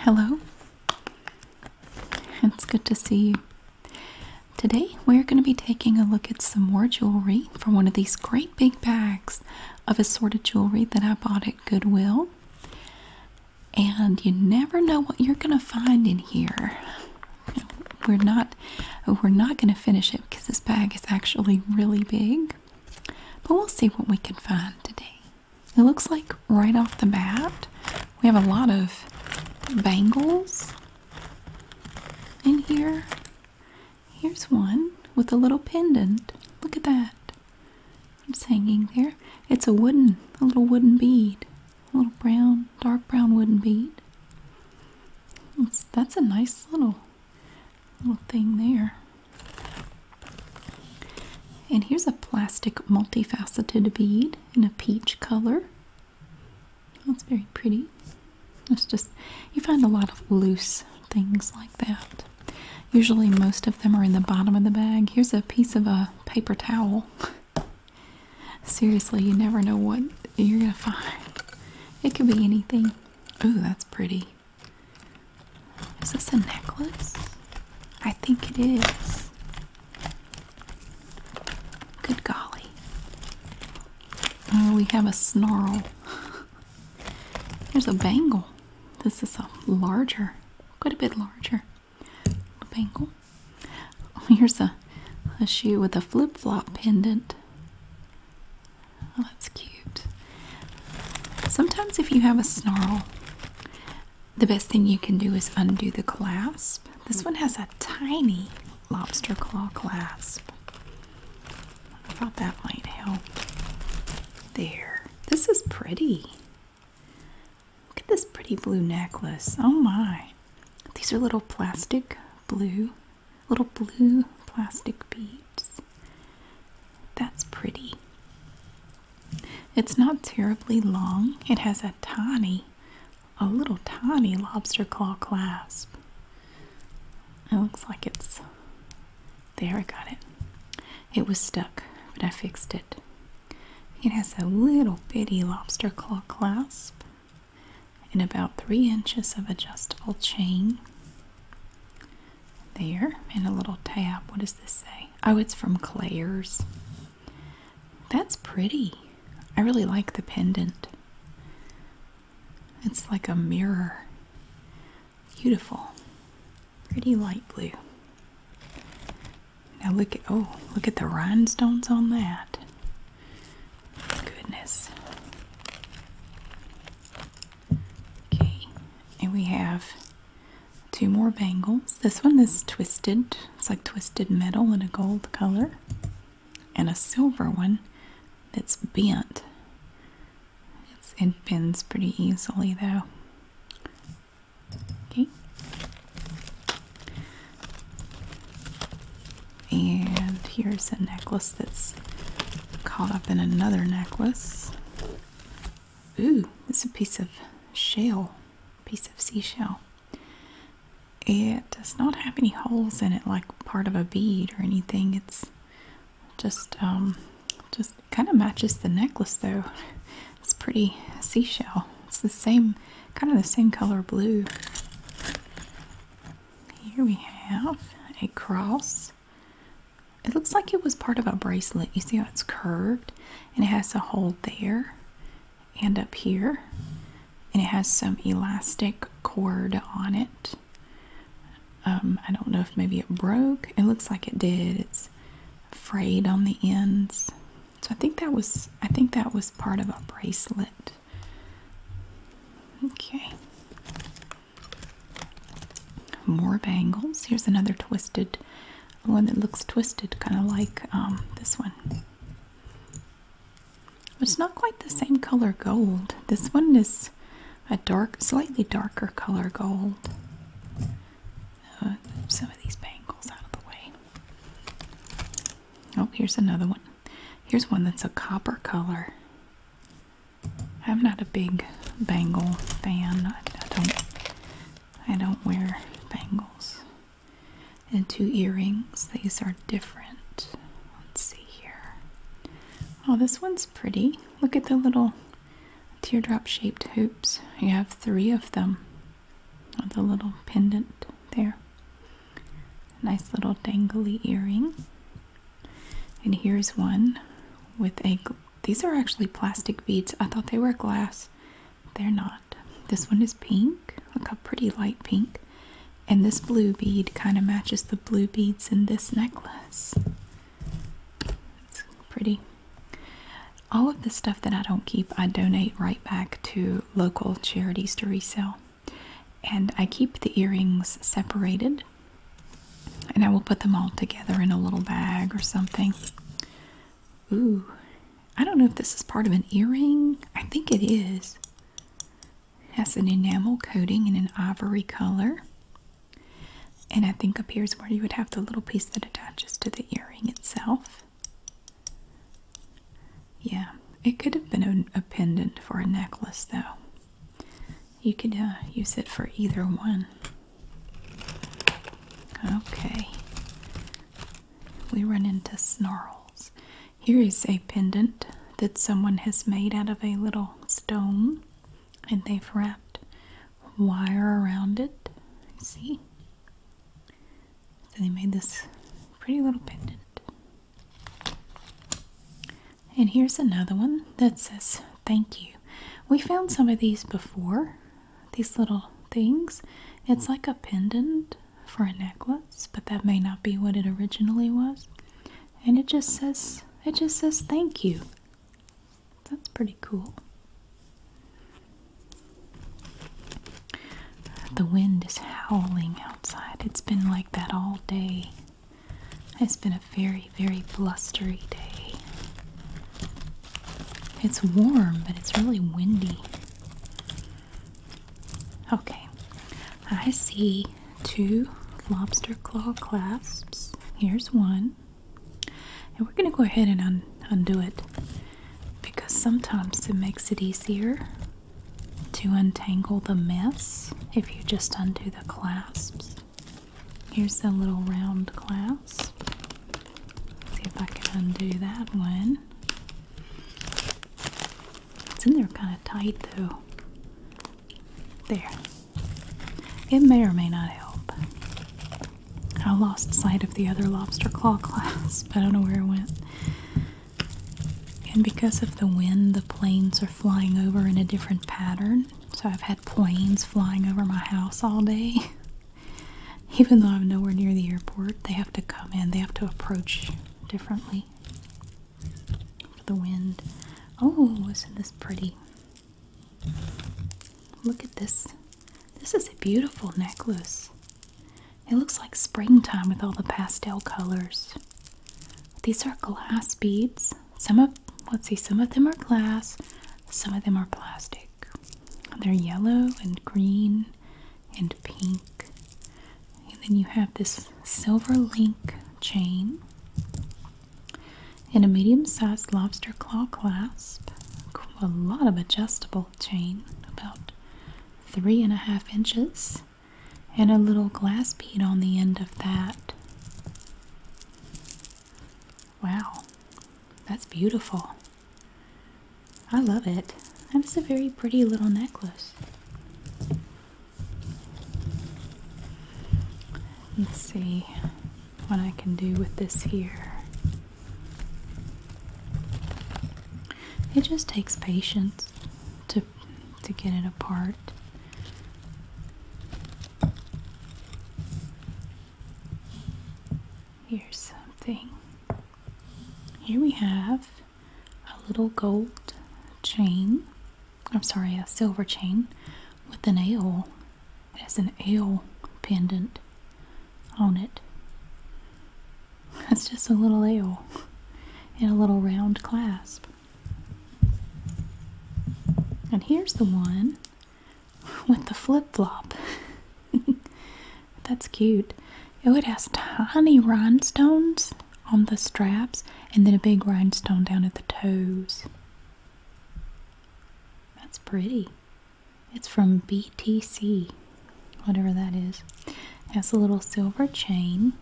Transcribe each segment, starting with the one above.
Hello. It's good to see you. Today we're going to be taking a look at some more jewelry from one of these great big bags of assorted jewelry that I bought at Goodwill. And you never know what you're going to find in here. We're not we're not going to finish it because this bag is actually really big. But we'll see what we can find today. It looks like right off the bat we have a lot of bangles in here. Here's one with a little pendant. Look at that. It's hanging there. It's a wooden, a little wooden bead. A little brown, dark brown wooden bead. that's a nice little little thing there. And here's a plastic multifaceted bead in a peach color. That's very pretty. It's just, you find a lot of loose things like that. Usually most of them are in the bottom of the bag. Here's a piece of a paper towel. Seriously, you never know what you're going to find. It could be anything. Oh, that's pretty. Is this a necklace? I think it is. Good golly. Oh, we have a snarl. There's a bangle. This is a larger, quite a bit larger bangle. Oh, here's a, a shoe with a flip flop pendant. Oh, that's cute. Sometimes, if you have a snarl, the best thing you can do is undo the clasp. This one has a tiny lobster claw clasp. I thought that might help. There. This is pretty. Look at this pretty blue necklace. Oh my. These are little plastic blue, little blue plastic beads. That's pretty. It's not terribly long. It has a tiny, a little tiny lobster claw clasp. It looks like it's. There, I got it. It was stuck, but I fixed it. It has a little bitty lobster claw clasp and about three inches of adjustable chain there and a little tab. What does this say? Oh, it's from Claire's. That's pretty. I really like the pendant. It's like a mirror. Beautiful. Pretty light blue. Now look at oh, look at the rhinestones on that. Goodness. Okay, and we have two more bangles. This one is twisted, it's like twisted metal in a gold color, and a silver one that's bent. it bends pretty easily though. Okay. And here's a necklace that's caught up in another necklace. Ooh, it's a piece of shell, piece of seashell. It does not have any holes in it like part of a bead or anything. It's just um, just kind of matches the necklace though. It's pretty seashell. It's the same kind of the same color blue. Here we have a cross it looks like it was part of a bracelet. You see how it's curved and it has a hole there and up here. And it has some elastic cord on it. Um, I don't know if maybe it broke. It looks like it did. It's frayed on the ends. So I think that was I think that was part of a bracelet. Okay. More bangles. Here's another twisted one that looks twisted, kind of like um, this one. But it's not quite the same color gold. This one is a dark, slightly darker color gold. Uh, some of these bangles out of the way. Oh, here's another one. Here's one that's a copper color. I'm not a big bangle fan. I, don't I don't wear bangles. And two earrings. These are different. Let's see here. Oh, this one's pretty. Look at the little teardrop shaped hoops. You have three of them. With oh, a little pendant there. Nice little dangly earring. And here's one with a these are actually plastic beads. I thought they were glass. They're not. This one is pink. Look how pretty light pink. And this blue bead kind of matches the blue beads in this necklace. It's pretty. All of the stuff that I don't keep, I donate right back to local charities to resell. And I keep the earrings separated and I will put them all together in a little bag or something. Ooh, I don't know if this is part of an earring. I think it is. It has an enamel coating in an ivory color. And I think up here is where you would have the little piece that attaches to the earring itself. Yeah, it could have been a pendant for a necklace, though. You could uh, use it for either one. Okay. We run into snarls. Here is a pendant that someone has made out of a little stone and they've wrapped wire around it. See? So they made this pretty little pendant. And here's another one that says thank you. We found some of these before, these little things. It's like a pendant for a necklace, but that may not be what it originally was. And it just says it just says thank you. That's pretty cool. The wind is howling outside. It's been like that all day. It's been a very, very blustery day. It's warm, but it's really windy. Okay, I see two lobster claw clasps. Here's one. And we're going to go ahead and undo it because sometimes it makes it easier to untangle the mess if you just undo the clasps. Here's the little round clasp. Let's see if I can undo that one. It's in there kind of tight though. There. It may or may not help. I lost sight of the other lobster claw clasp. I don't know where it went. And because of the wind, the planes are flying over in a different pattern. So I've had planes flying over my house all day. Even though I'm nowhere near the airport, they have to come in, they have to approach differently for the wind. Oh, isn't this pretty? Look at this. This is a beautiful necklace. It looks like springtime with all the pastel colors. These are glass beads. Some of let's see, some of them are glass, some of them are plastic. They're yellow and green and pink. And then you have this silver link chain and a medium sized lobster claw clasp. A lot of adjustable chain, about three and a half inches, and a little glass bead on the end of that. Wow, that's beautiful. I love it. That's a very pretty little necklace. Let's see what I can do with this here. It just takes patience to to get it apart. Here's something. Here we have a little gold chain. I'm sorry, a silver chain with an ale. It has an ale pendant on it. It's just a little ale and a little round clasp. And here's the one with the flip flop. That's cute. Oh, it would have tiny rhinestones on the straps and then a big rhinestone down at the toes. That's pretty. It's from BTC, whatever that is. It has a little silver chain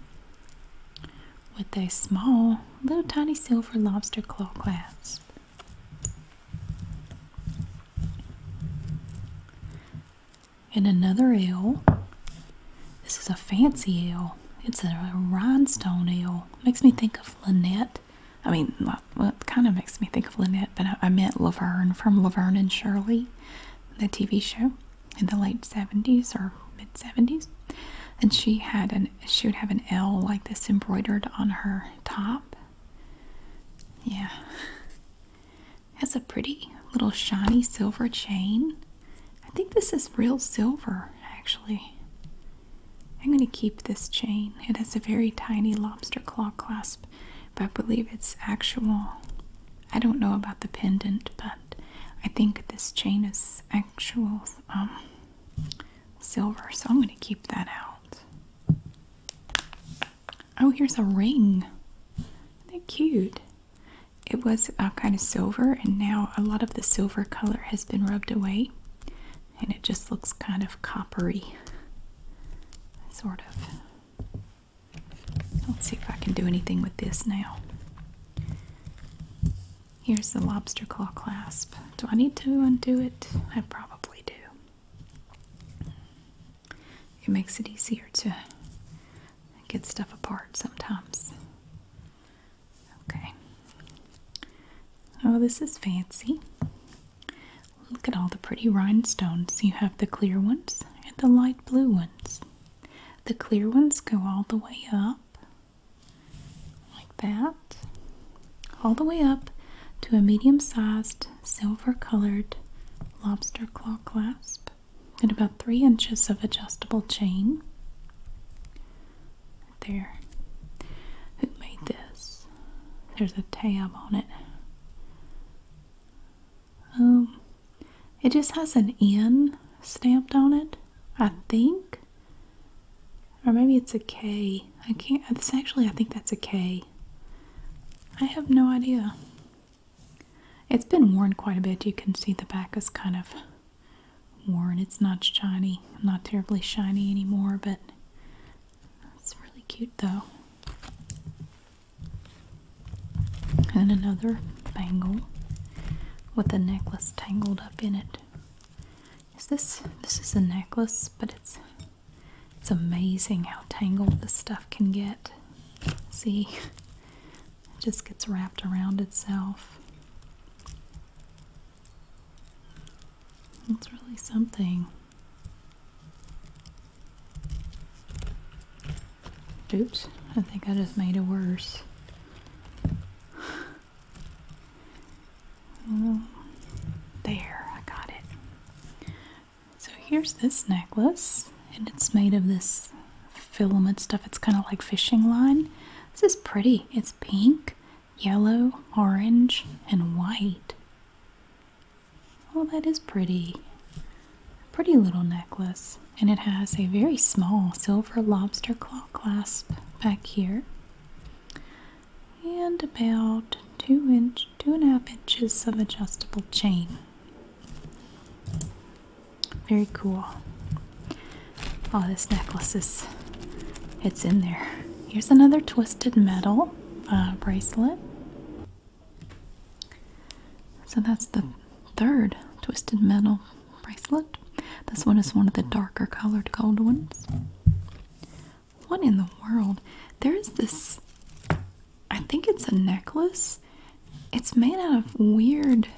with a small, little tiny silver lobster claw clasps. And another L. This is a fancy L. It's a rhinestone L. Makes me think of Lynette. I mean, well, it kind of makes me think of Lynette, but I, I meant Laverne from Laverne and Shirley, the TV show in the late 70s or mid 70s. And she had an she would have an L like this embroidered on her top. Yeah. Has a pretty little shiny silver chain. I think this is real silver, actually. I'm going to keep this chain. It has a very tiny lobster claw clasp, but I believe it's actual. I don't know about the pendant, but I think this chain is actual um, silver, so I'm going to keep that out. Oh, here's a ring. Isn't that cute? It was uh, kind of silver, and now a lot of the silver color has been rubbed away, and it just looks kind of coppery, sort of. Let's see if I can do anything with this now. Here's the lobster claw clasp. Do I need to undo it? I probably do. It makes it easier to get stuff apart sometimes. Okay. Oh, this is fancy. Look at all the pretty rhinestones. You have the clear ones and the light blue ones. The clear ones go all the way up like that, all the way up to a medium sized silver colored lobster claw clasp and about three inches of adjustable chain. There. Who made this? There's a tab on it. Oh, it just has an N stamped on it. I think. Or maybe it's a K. I can't. It's actually, I think that's a K. I have no idea. It's been worn quite a bit. You can see the back is kind of worn. It's not shiny, not terribly shiny anymore, but it's really cute though. And another bangle with a necklace tangled up in it. Is this this is a necklace, but it's it's amazing how tangled this stuff can get. See? It just gets wrapped around itself. That's really something. Oops, I think I just made it worse. Oh, there, I got it. So here's this necklace, and it's made of this filament stuff. It's kind of like fishing line. This is pretty. It's pink, yellow, orange, and white. Oh, that is pretty. Pretty little necklace. And it has a very small silver lobster claw clasp back here and about two inch two and a half inches of adjustable chain very cool All this necklace is it's in there here's another twisted metal uh, bracelet so that's the third twisted metal bracelet. This one is one of the darker colored gold ones. What in the world? There is this, I think it's a necklace. It's made out of weird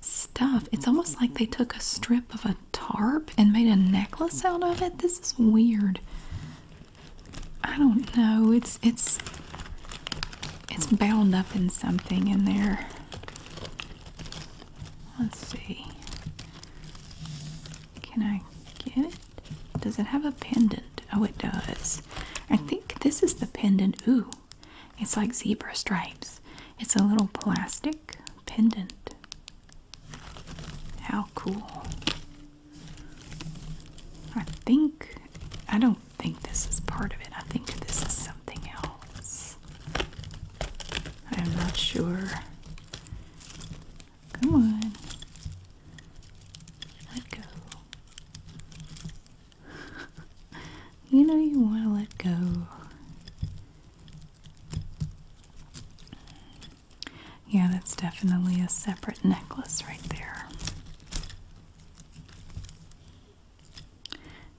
stuff. It's almost like they took a strip of a tarp and made a necklace out of it. This is weird. I don't know. It's it's it's bound up in something in there. Let's see. Can I get it? Does it have a pendant? Oh, it does. I think this is the pendant. Ooh, it's like zebra stripes. It's a little plastic pendant. How cool. I think, I don't think this is part of it. I think this is something else. I'm not sure. Come on. Let go. you know you want to let go. Yeah, that's definitely a separate necklace right there.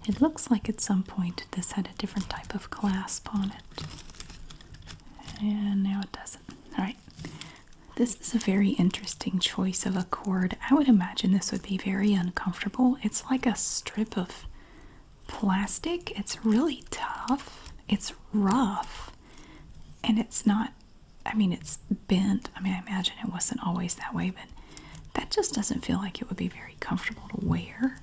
It looks like at some point this had a different type of clasp on it. And now it doesn't. Alright. This is a very interesting choice of a cord. I would imagine this would be very uncomfortable. It's like a strip of plastic. It's really tough. It's rough. And it's not, I mean, it's bent. I mean, I imagine it wasn't always that way, but that just doesn't feel like it would be very comfortable to wear.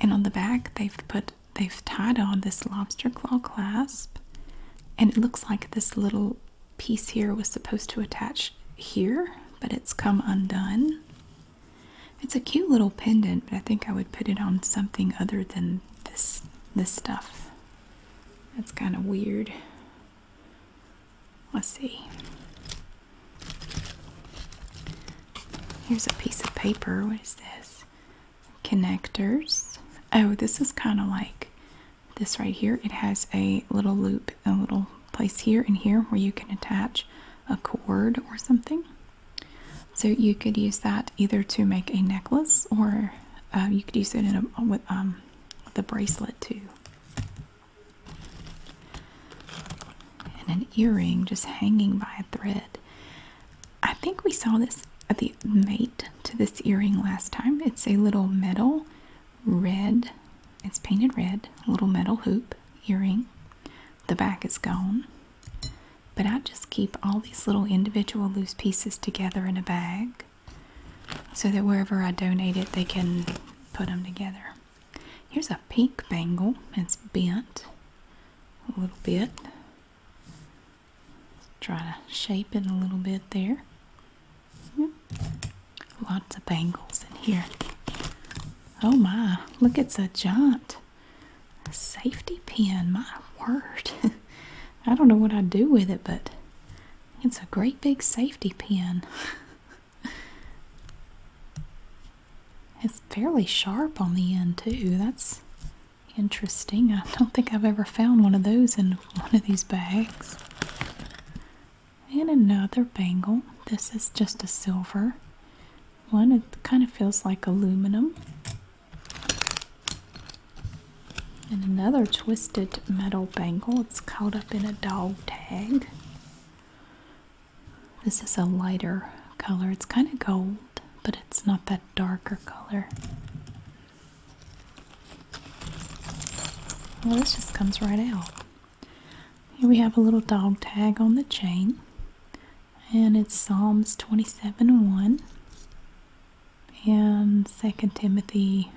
And on the back, they've put they've tied on this lobster claw clasp, and it looks like this little piece here was supposed to attach here, but it's come undone. It's a cute little pendant, but I think I would put it on something other than this this stuff. That's kind of weird. Let's see. Here's a piece of paper. What is this? Connectors. Oh, this is kind of like this right here. It has a little loop, a little place here and here where you can attach a cord or something. So you could use that either to make a necklace or uh, you could use it with, um, with a bracelet too and an earring just hanging by a thread. I think we saw this the mate to this earring last time. It's a little metal red, it's painted red, little metal hoop earring. The back is gone. But I just keep all these little individual loose pieces together in a bag so that wherever I donate it, they can put them together. Here's a pink bangle. It's bent a little bit. Let's try to shape it a little bit there. Lots of bangles in here. Oh my, look, it's a giant safety pin. My word. I don't know what I'd do with it, but it's a great big safety pin. It's fairly sharp on the end too. That's interesting. I don't think I've ever found one of those in one of these bags. And another bangle. This is just a silver one. It kind of feels like aluminum. And another twisted metal bangle. It's caught up in a dog tag. This is a lighter color. It's kind of gold, but it's not that darker color. Well, this just comes right out. Here we have a little dog tag on the chain, and it's Psalms 27 1 and 2 Timothy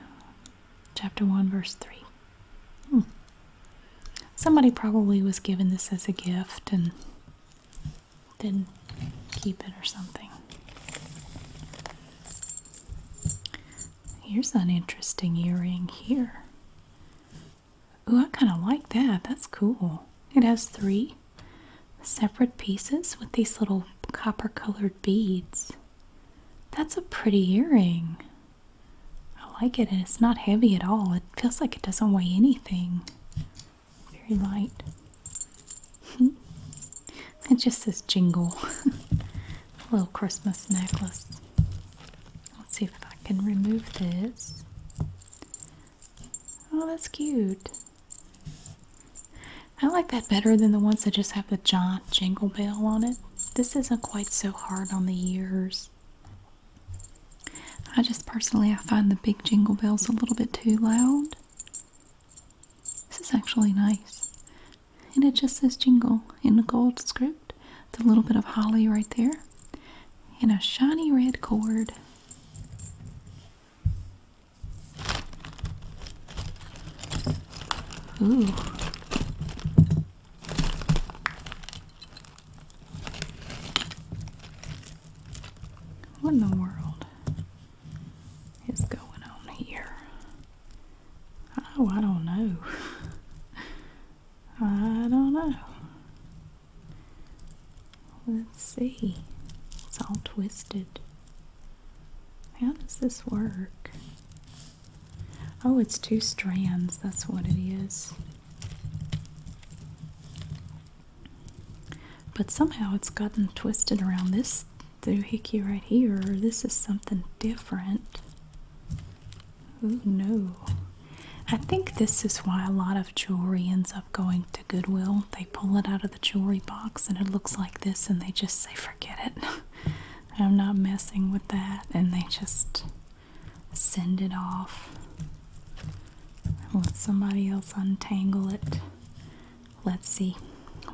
chapter 1, verse 3. Hmm. Somebody probably was given this as a gift and didn't keep it or something. Here's an interesting earring here. Ooh, I kind of like that. That's cool. It has three separate pieces with these little copper colored beads. That's a pretty earring. I like it and it's not heavy at all. It feels like it doesn't weigh anything. Very light. it just says jingle. Little Christmas necklace. Let's see if I can remove this. Oh, that's cute. I like that better than the ones that just have the giant jingle bell on it. This isn't quite so hard on the ears. I just personally I find the big jingle bells a little bit too loud. This is actually nice. And it just says jingle in the gold script. It's a little bit of holly right there. And a shiny red cord. Ooh. What in the world is going on here? Oh, I don't know. I don't know. Let's see. It's all twisted. How does this work? Oh, it's two strands. That's what it is. But somehow it's gotten twisted around this doohickey right here. This is something different. Oh no. I think this is why a lot of jewelry ends up going to Goodwill. They pull it out of the jewelry box and it looks like this and they just say, forget it. I'm not messing with that. And they just send it off, let somebody else untangle it. Let's see.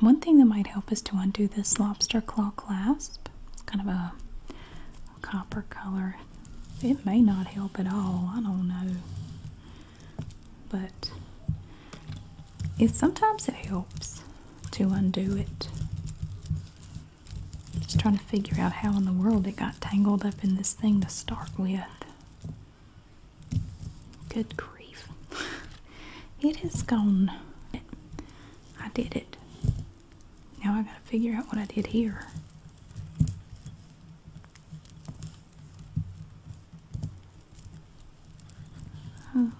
One thing that might help is to undo this lobster claw clasp. It's kind of a copper color. It may not help at all. I don't know. But it sometimes it helps to undo it. Just trying to figure out how in the world it got tangled up in this thing to start with. Good grief. It has gone. I did it. Now I gotta figure out what I did here. Oh.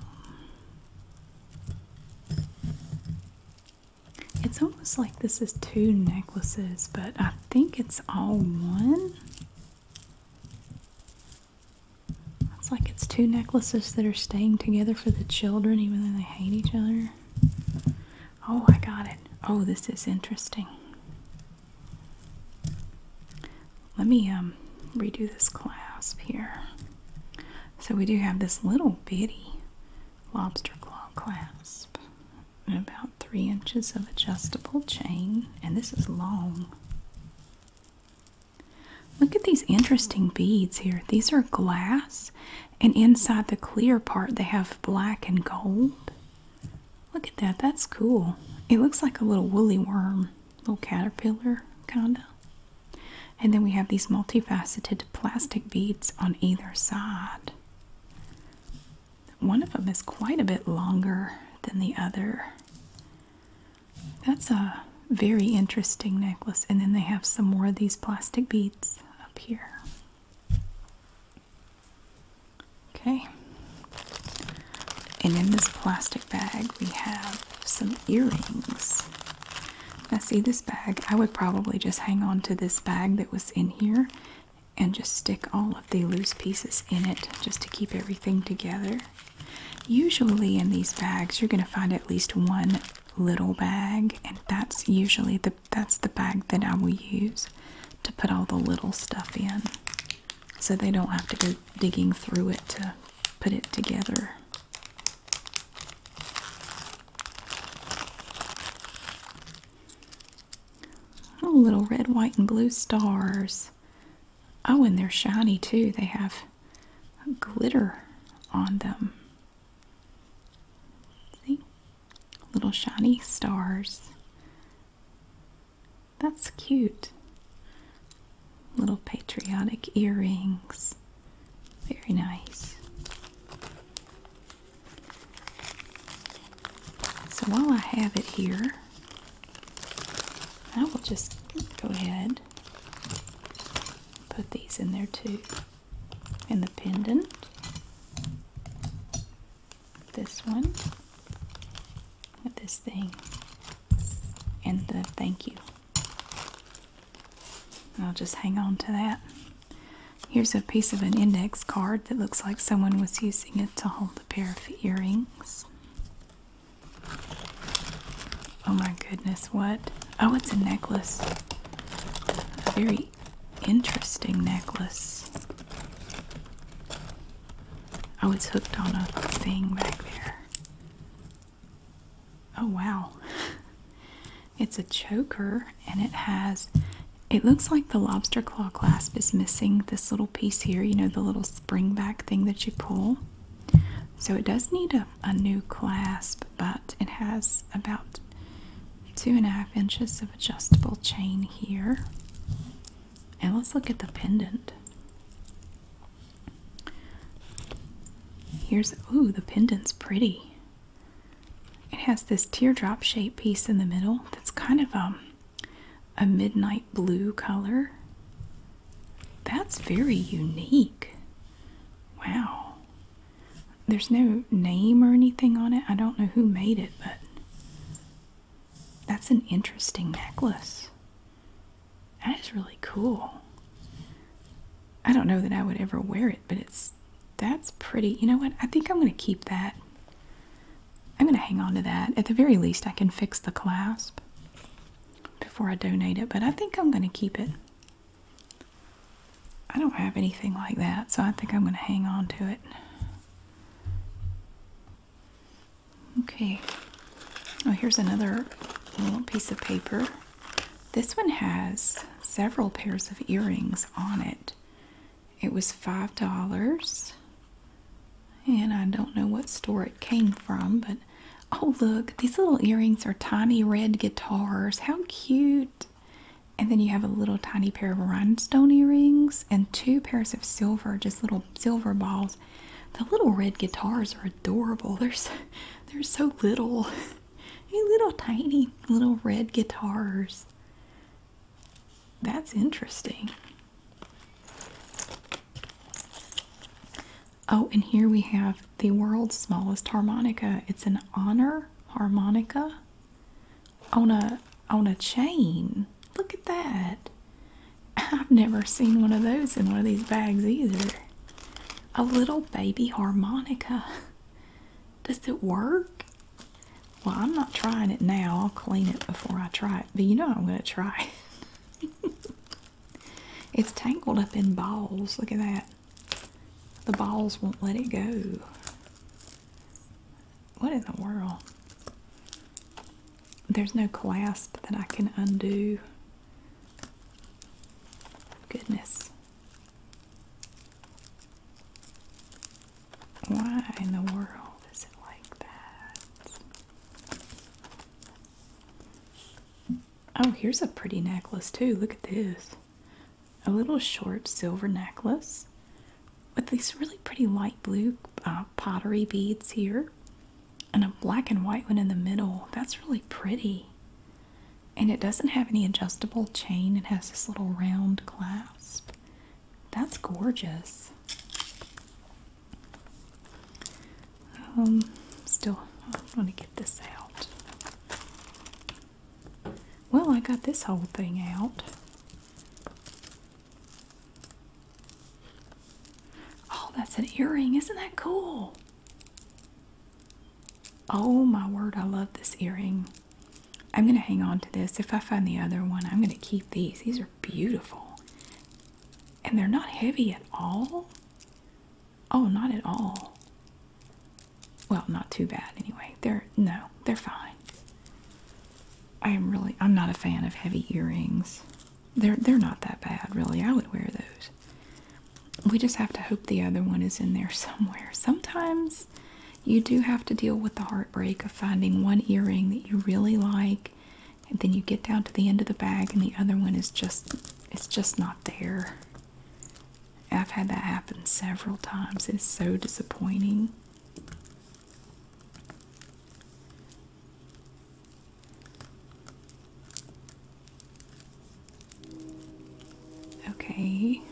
It's almost like this is two necklaces, but I think it's all one. It's like it's two necklaces that are staying together for the children, even though they hate each other. Oh, I got it. Oh, this is interesting. Let me um, redo this clasp here. So we do have this little bitty lobster claw clasp, and about three inches of adjustable chain, and this is long. Look at these interesting beads here. These are glass, and inside the clear part, they have black and gold. Look at that, that's cool. It looks like a little woolly worm, little caterpillar, kinda. And then we have these multifaceted plastic beads on either side. One of them is quite a bit longer than the other. That's a very interesting necklace. And then they have some more of these plastic beads up here. Okay. And in this plastic bag, we have some earrings. I see this bag. I would probably just hang on to this bag that was in here and just stick all of the loose pieces in it just to keep everything together. Usually, in these bags, you're going to find at least one little bag, and that's usually the that's the bag that I will use to put all the little stuff in, so they don't have to go digging through it to put it together. Oh, little red, white, and blue stars. Oh, and they're shiny too. They have glitter on them. See? Little shiny stars. That's cute. Little patriotic earrings. Very nice. So while I have it here, I will just go ahead put these in there too. And the pendant, this one, this thing, and the thank you. I'll just hang on to that. Here's a piece of an index card that looks like someone was using it to hold a pair of earrings. Oh my goodness, what? Oh, it's a necklace. A very interesting necklace. Oh, it's hooked on a thing back there. Oh, wow. It's a choker and it has, it looks like the lobster claw clasp is missing this little piece here, you know, the little spring back thing that you pull. So it does need a, a new clasp, but it has about two and a half inches of adjustable chain here. And let's look at the pendant. Here's, oh, the pendant's pretty. It has this teardrop shaped piece in the middle that's kind of um, a midnight blue color. That's very unique. Wow. There's no name or anything on it. I don't know who made it, but that's an interesting necklace. That is really cool. I don't know that I would ever wear it but it's that's pretty. You know what? I think I'm going to keep that. I'm going to hang on to that. At the very least, I can fix the clasp before I donate it, but I think I'm going to keep it. I don't have anything like that, so I think I'm going to hang on to it. Okay. Oh, here's another little piece of paper. This one has several pairs of earrings on it. It was $5. And I don't know what store it came from, but oh, look, these little earrings are tiny red guitars. How cute! And then you have a little tiny pair of rhinestone earrings and two pairs of silver, just little silver balls. The little red guitars are adorable. They're so, they're so little. Hey, little tiny little red guitars. That's interesting. Oh, and here we have the world's smallest harmonica. It's an honor harmonica on a on a chain. Look at that. I've never seen one of those in one of these bags either. A little baby harmonica. Does it work? Well, I'm not trying it now. I'll clean it before I try it. But you know I'm going to try it. it's tangled up in balls. Look at that. The balls won't let it go. What in the world? There's no clasp that I can undo. Goodness. Why in the world is it like that? Oh, here's a pretty necklace, too. Look at this. A little short silver necklace with these really pretty light blue uh, pottery beads here and a black and white one in the middle. That's really pretty and it doesn't have any adjustable chain. It has this little round clasp. That's gorgeous. Um, still, I want to get this out. Well, I got this whole thing out. Oh, that's an earring. Isn't that cool? Oh my word, I love this earring. I'm going to hang on to this. If I find the other one, I'm going to keep these. These are beautiful. And they're not heavy at all. Oh, not at all. Well, not too bad anyway. They're, no, they're fine. I am really, I'm not a fan of heavy earrings. They're, they're not that bad, really. I would wear those. We just have to hope the other one is in there somewhere. Sometimes you do have to deal with the heartbreak of finding one earring that you really like and then you get down to the end of the bag and the other one is just it's just not there. I've had that happen several times. It's so disappointing. Okay.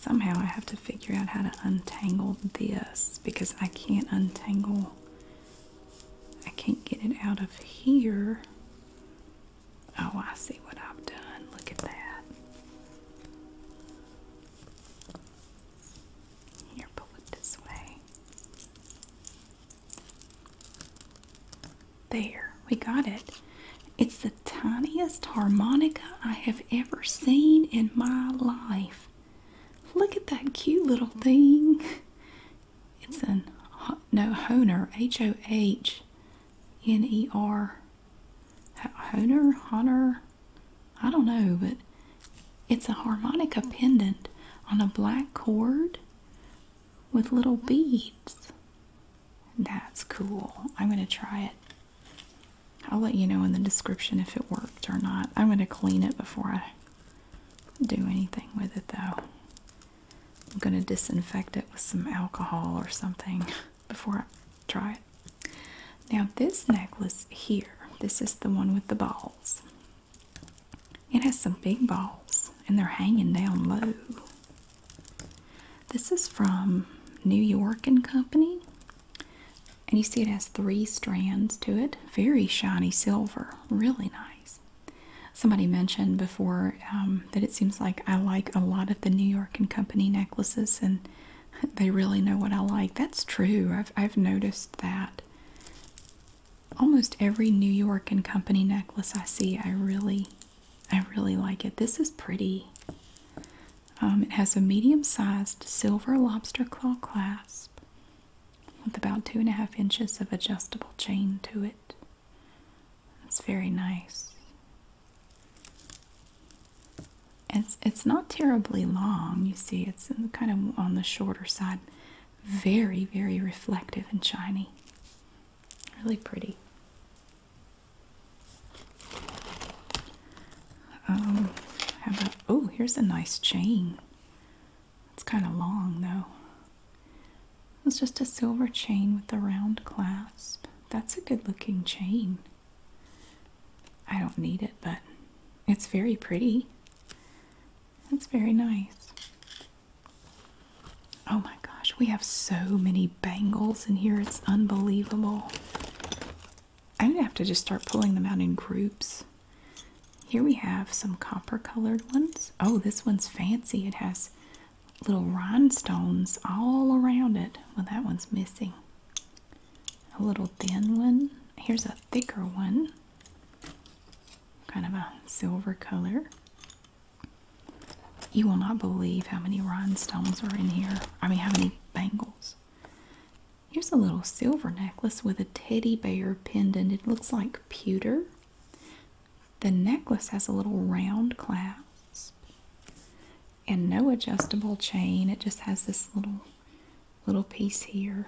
Somehow I have to figure out how to untangle this because I can't untangle. I can't get it out of here. Oh, I see what I've done. Look at that. Here, pull it this way. There, we got it. It's the tiniest harmonica I have ever seen in my life. Look at that cute little thing. It's an no honer, H O H N E R. Honer, honer. I don't know, but it's a harmonica pendant on a black cord with little beads. That's cool. I'm going to try it. I'll let you know in the description if it worked or not. I'm going to clean it before I do anything with it though. I'm going to disinfect it with some alcohol or something before I try it. Now this necklace here, this is the one with the balls. It has some big balls and they're hanging down low. This is from New York and Company. And you see it has three strands to it. Very shiny silver. Really nice. Somebody mentioned before um, that it seems like I like a lot of the New York and Company necklaces and they really know what I like. That's true. I've noticed that. Almost every New York and Company necklace I see, I really I really like it. This is pretty. Um, it has a medium sized silver lobster claw clasp with about two and a half inches of adjustable chain to it. It's very nice. It's, it's not terribly long, you see, it's kind of on the shorter side. Very, very reflective and shiny. Really pretty oh, here's a nice chain. It's kind of long though. It's just a silver chain with a round clasp. That's a good looking chain. I don't need it, but it's very pretty. It's very nice. Oh my gosh, we have so many bangles in here. It's unbelievable. I'm gonna have to just start pulling them out in groups. Here we have some copper colored ones. Oh, this one's fancy. It has little rhinestones all around it. Well, that one's missing. A little thin one. Here's a thicker one. Kind of a silver color. You will not believe how many rhinestones are in here. I mean, how many bangles. Here's a little silver necklace with a teddy bear pendant. It looks like pewter. The necklace has a little round clasp and no adjustable chain. It just has this little little piece here.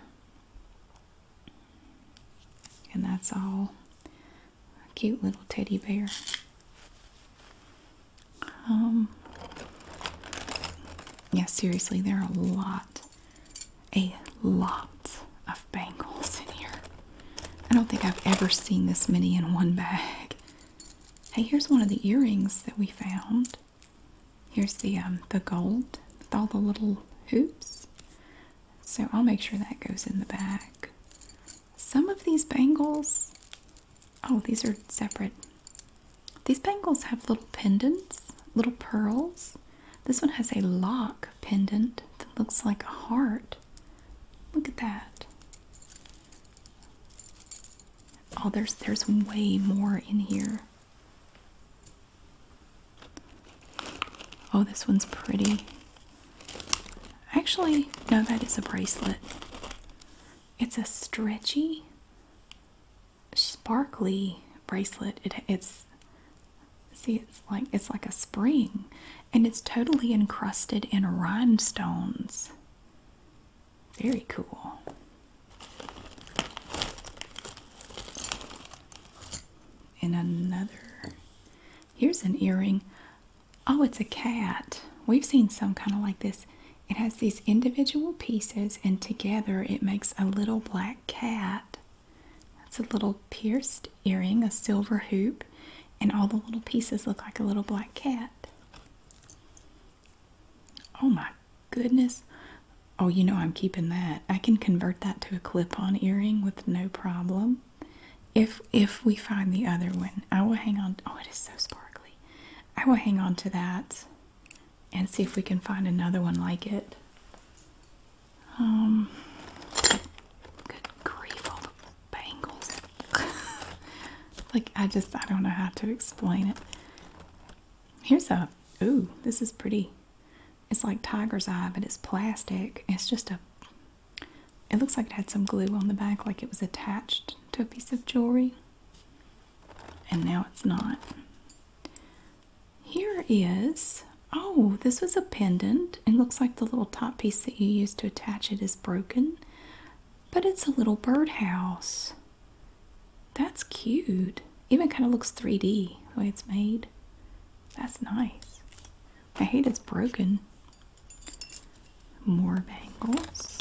And that's all. A cute little teddy bear. Um, yeah, seriously, there are a lot, a lot of bangles in here. I don't think I've ever seen this many in one bag. Hey, here's one of the earrings that we found. Here's the um, the gold with all the little hoops. So I'll make sure that goes in the bag some of these bangles oh these are separate these bangles have little pendants little pearls this one has a lock pendant that looks like a heart look at that oh there's there's way more in here oh this one's pretty Actually, no, that is a bracelet. It's a stretchy, sparkly bracelet. it's see, it's like it's like a spring, and it's totally encrusted in rhinestones. Very cool. And another. Here's an earring. Oh, it's a cat. We've seen some kind of like this. It has these individual pieces, and together it makes a little black cat. That's a little pierced earring, a silver hoop, and all the little pieces look like a little black cat. Oh my goodness. Oh, you know I'm keeping that. I can convert that to a clip on earring with no problem. If if we find the other one, I will hang on. Oh, it is so sparkly. I will hang on to that and see if we can find another one like it. Um, good grief, all the bangles. like, I just, I don't know how to explain it. Here's a, ooh, this is pretty. It's like tiger's eye, but it's plastic. It's just a it looks like it had some glue on the back, like it was attached to a piece of jewelry. And now it's not. Here is, oh, this was a pendant. It looks like the little top piece that you used to attach it is broken, but it's a little birdhouse. That's cute. Even kind of looks 3D the way it's made. That's nice. I hate it's broken. More bangles.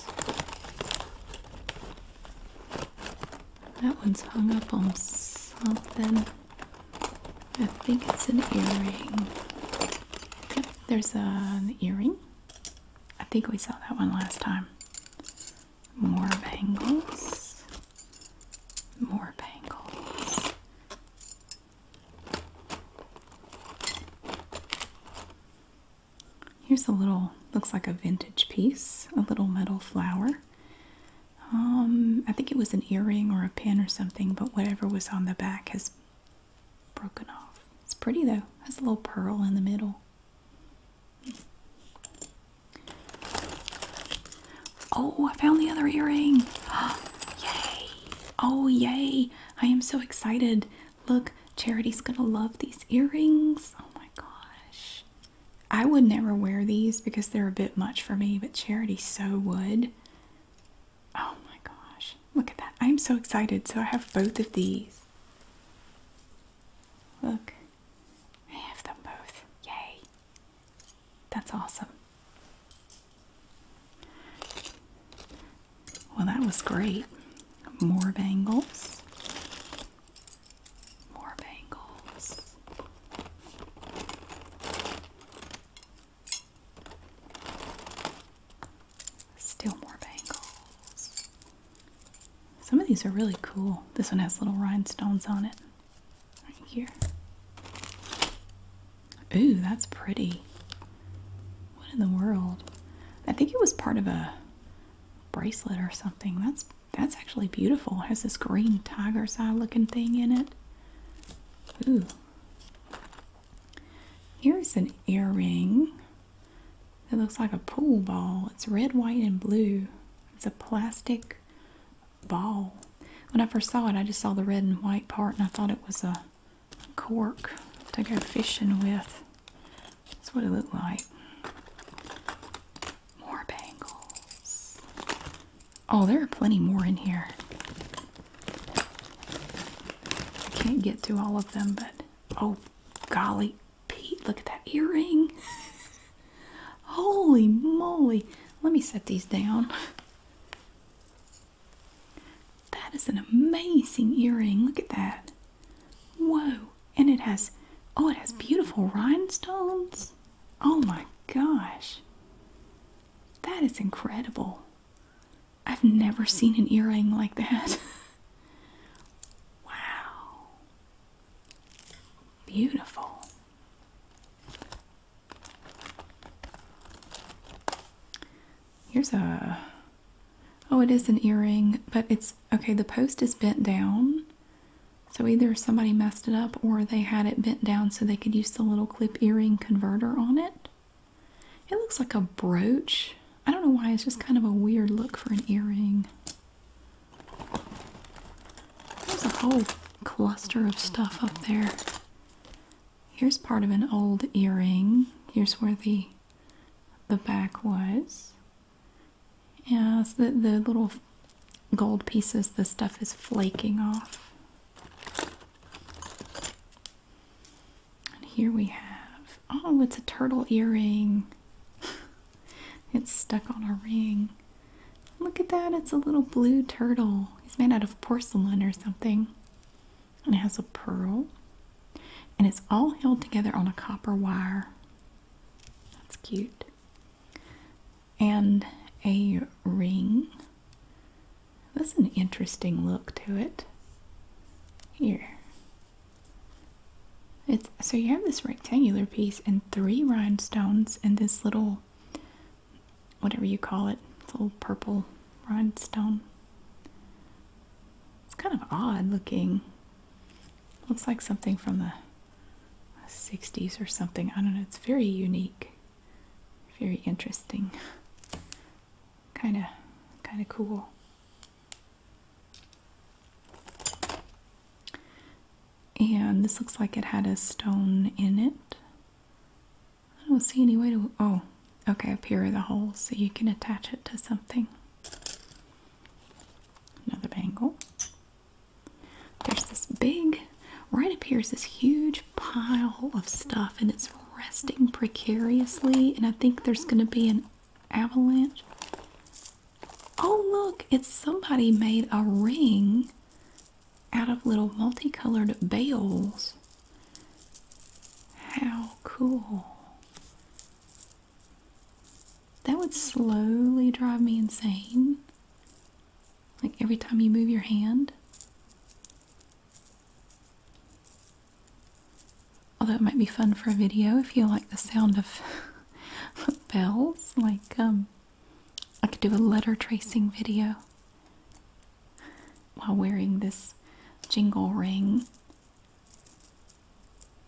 That one's hung up on something. I think it's an earring. there's an earring. I think we saw that one last time. More bangles. More bangles. Here's a little, looks like a vintage piece, a little metal flower. Um, I think it was an earring or a pin or something, but whatever was on the back has broken off. It's pretty though, has a little pearl in the middle. Oh, I found the other earring. yay! Oh, yay! I am so excited. Look, Charity's gonna love these earrings. Oh my gosh. I would never wear these because they're a bit much for me, but Charity so would. Oh my gosh. Look at that. I'm so excited. So I have both of these. Look, I have them both. Yay. That's awesome. Well, that was great. More bangles. More bangles. Still more bangles. Some of these are really cool. This one has little rhinestones on it. Right here. Ooh, that's pretty. What in the world? I think it was part of a bracelet or something. That's that's actually beautiful. It has this green tiger's eye looking thing in it. Ooh. Here's an earring It looks like a pool ball. It's red, white, and blue. It's a plastic ball. When I first saw it, I just saw the red and white part and I thought it was a cork to go fishing with. That's what it looked like. More bangles. Oh, there are plenty more in here. I can't get to all of them, but oh, golly, Pete, look at that earring. Holy moly. Let me set these down. That is an amazing earring. Look at that. Whoa. And it has, oh, it has beautiful rhinestones. Oh my gosh. That is incredible. I've never seen an earring like that. wow. Beautiful. Here's a, oh, it is an earring, but it's, okay, the post is bent down. So either somebody messed it up or they had it bent down so they could use the little clip earring converter on it. It looks like a brooch. I don't know why, it's just kind of a weird look for an earring. There's a whole cluster of stuff up there. Here's part of an old earring. Here's where the the back was. Yeah, the, the little gold pieces, the stuff is flaking off. And here we have, oh, it's a turtle earring. it's stuck on a ring. Look at that, it's a little blue turtle. He's made out of porcelain or something and it has a pearl and it's all held together on a copper wire. That's cute. And a ring. That's an interesting look to it. Here. It's so you have this rectangular piece and three rhinestones and this little whatever you call it. It's a little purple rhinestone. It's kind of odd looking. Looks like something from the 60s or something. I don't know. It's very unique. Very interesting. Kind of kind of cool. And this looks like it had a stone in it. I don't see any way to. Oh, okay, up here are the holes so you can attach it to something. Another bangle. There's this big, right up here is this huge pile of stuff and it's resting precariously. And I think there's going to be an avalanche. Oh, look, it's somebody made a ring out of little multicolored bales. How cool. That would slowly drive me insane. Like every time you move your hand. Although it might be fun for a video if you like the sound of bells. Like, um, I could do a letter tracing video while wearing this jingle ring.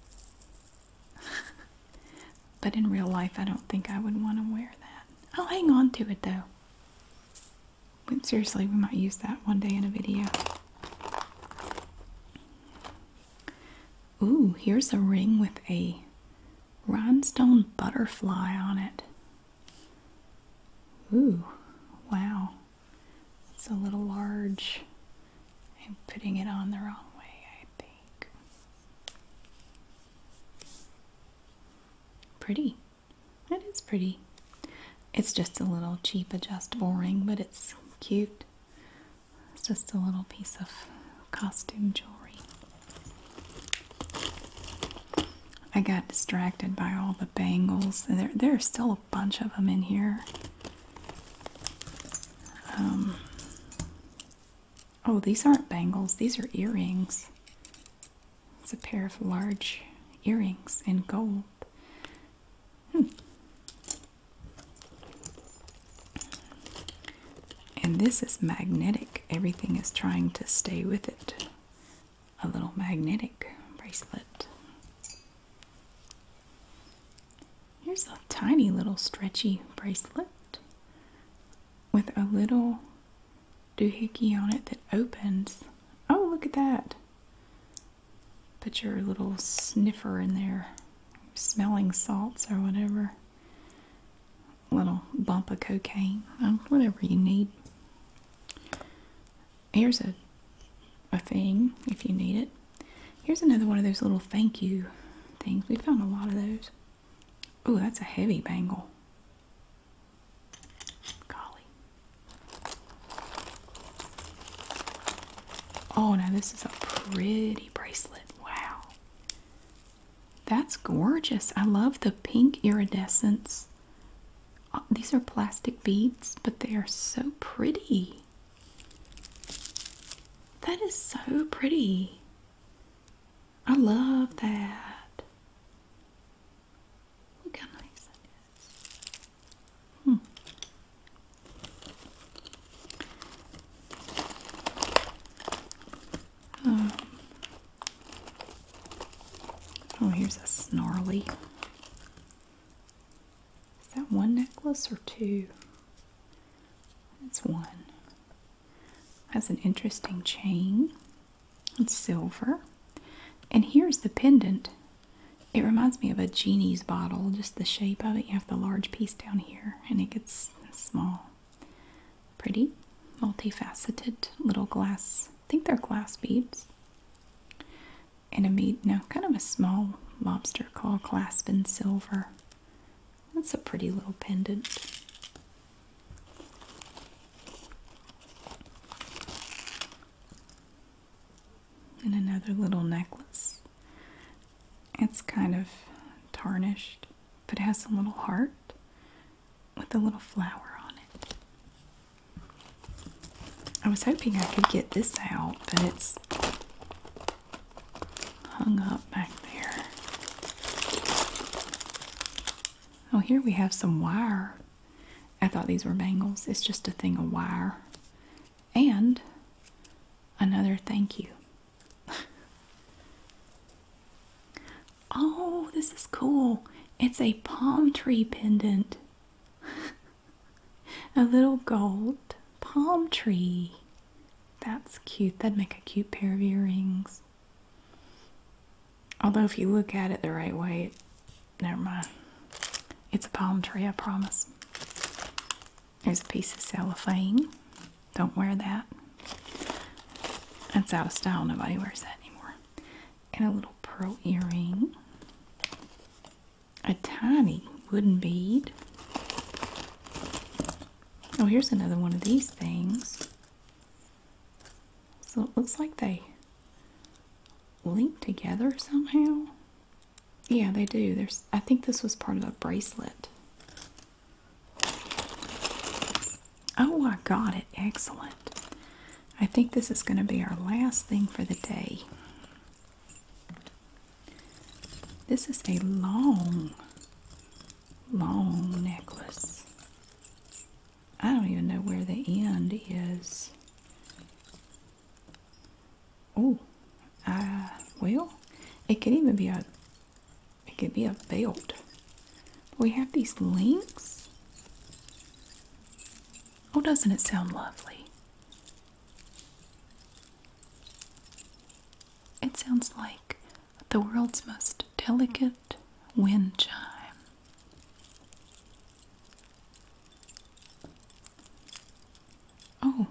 but in real life, I don't think I would want to wear that. I'll hang on to it though. seriously, we might use that one day in a video. Ooh, here's a ring with a rhinestone butterfly on it. Ooh, wow. It's a little large. I'm putting it on the wrong way, I think. Pretty. It is pretty. It's just a little cheap adjustable ring, but it's cute. It's just a little piece of costume jewelry. I got distracted by all the bangles, there there are still a bunch of them in here. Um, oh, these aren't bangles; these are earrings. It's a pair of large earrings in gold. Hmm. And this is magnetic. Everything is trying to stay with it a little magnetic bracelet. Here's a tiny little stretchy bracelet with a little doohickey on it that opens. Oh, look at that! Put your little sniffer in there, smelling salts or whatever. Little bump of cocaine, oh, whatever you need. Here's a a thing if you need it. Here's another one of those little thank you things. We found a lot of those. Oh, that's a heavy bangle. Golly. Oh, now this is a pretty bracelet. Wow. That's gorgeous. I love the pink iridescence uh, these are plastic beads, but they are so pretty. That is so pretty. I love that. Look how nice that is. Hmm. Um, Oh, here's a snarly. Is that one necklace or two? It's one. That's an interesting chain. It's silver. And here's the pendant. It reminds me of a genie's bottle, just the shape of it. You have the large piece down here, and it gets small. Pretty, multifaceted little glass I think they're glass beads. And a bead no, kind of a small lobster claw clasp in silver. That's a pretty little pendant. And another little necklace. It's kind of tarnished, but it has a little heart with a little flower on it. I was hoping I could get this out, but it's hung up back there. Oh, here we have some wire. I thought these were bangles. It's just a thing of wire. And another thank you. oh, this is cool. It's a palm tree pendant. a little gold palm tree. That's cute. That'd make a cute pair of earrings. Although, if you look at it the right way, never mind. It's a palm tree, I promise. There's a piece of cellophane. Don't wear that. That's out of style. Nobody wears that anymore and a little pearl earring, a tiny wooden bead. Oh, here's another one of these things. So it looks like they link together somehow. Yeah, they do. There's I think this was part of a bracelet. Oh, I got it. Excellent. I think this is going to be our last thing for the day. This is a long, long necklace. I don't even know where the end is. Oh, uh, well, it could even be a, it could be a belt. We have these links. Oh, doesn't it sound lovely? It sounds like the world's most delicate wind chime. Oh,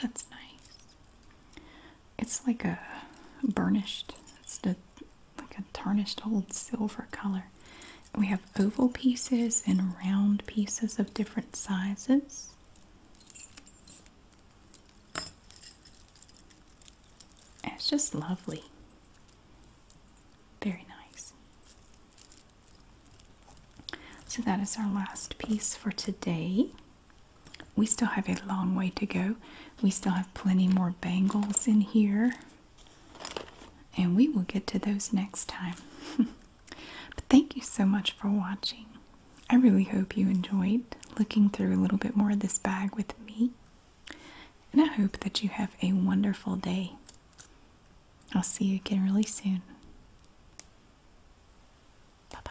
that's nice. It's like a burnished, like a tarnished old silver color. We have oval pieces and round pieces of different sizes. it's just lovely. Very nice. So that is our last piece for today. We still have a long way to go. We still have plenty more bangles in here. And we will get to those next time. but thank you so much for watching. I really hope you enjoyed looking through a little bit more of this bag with me. And I hope that you have a wonderful day. I'll see you again really soon. Bye bye.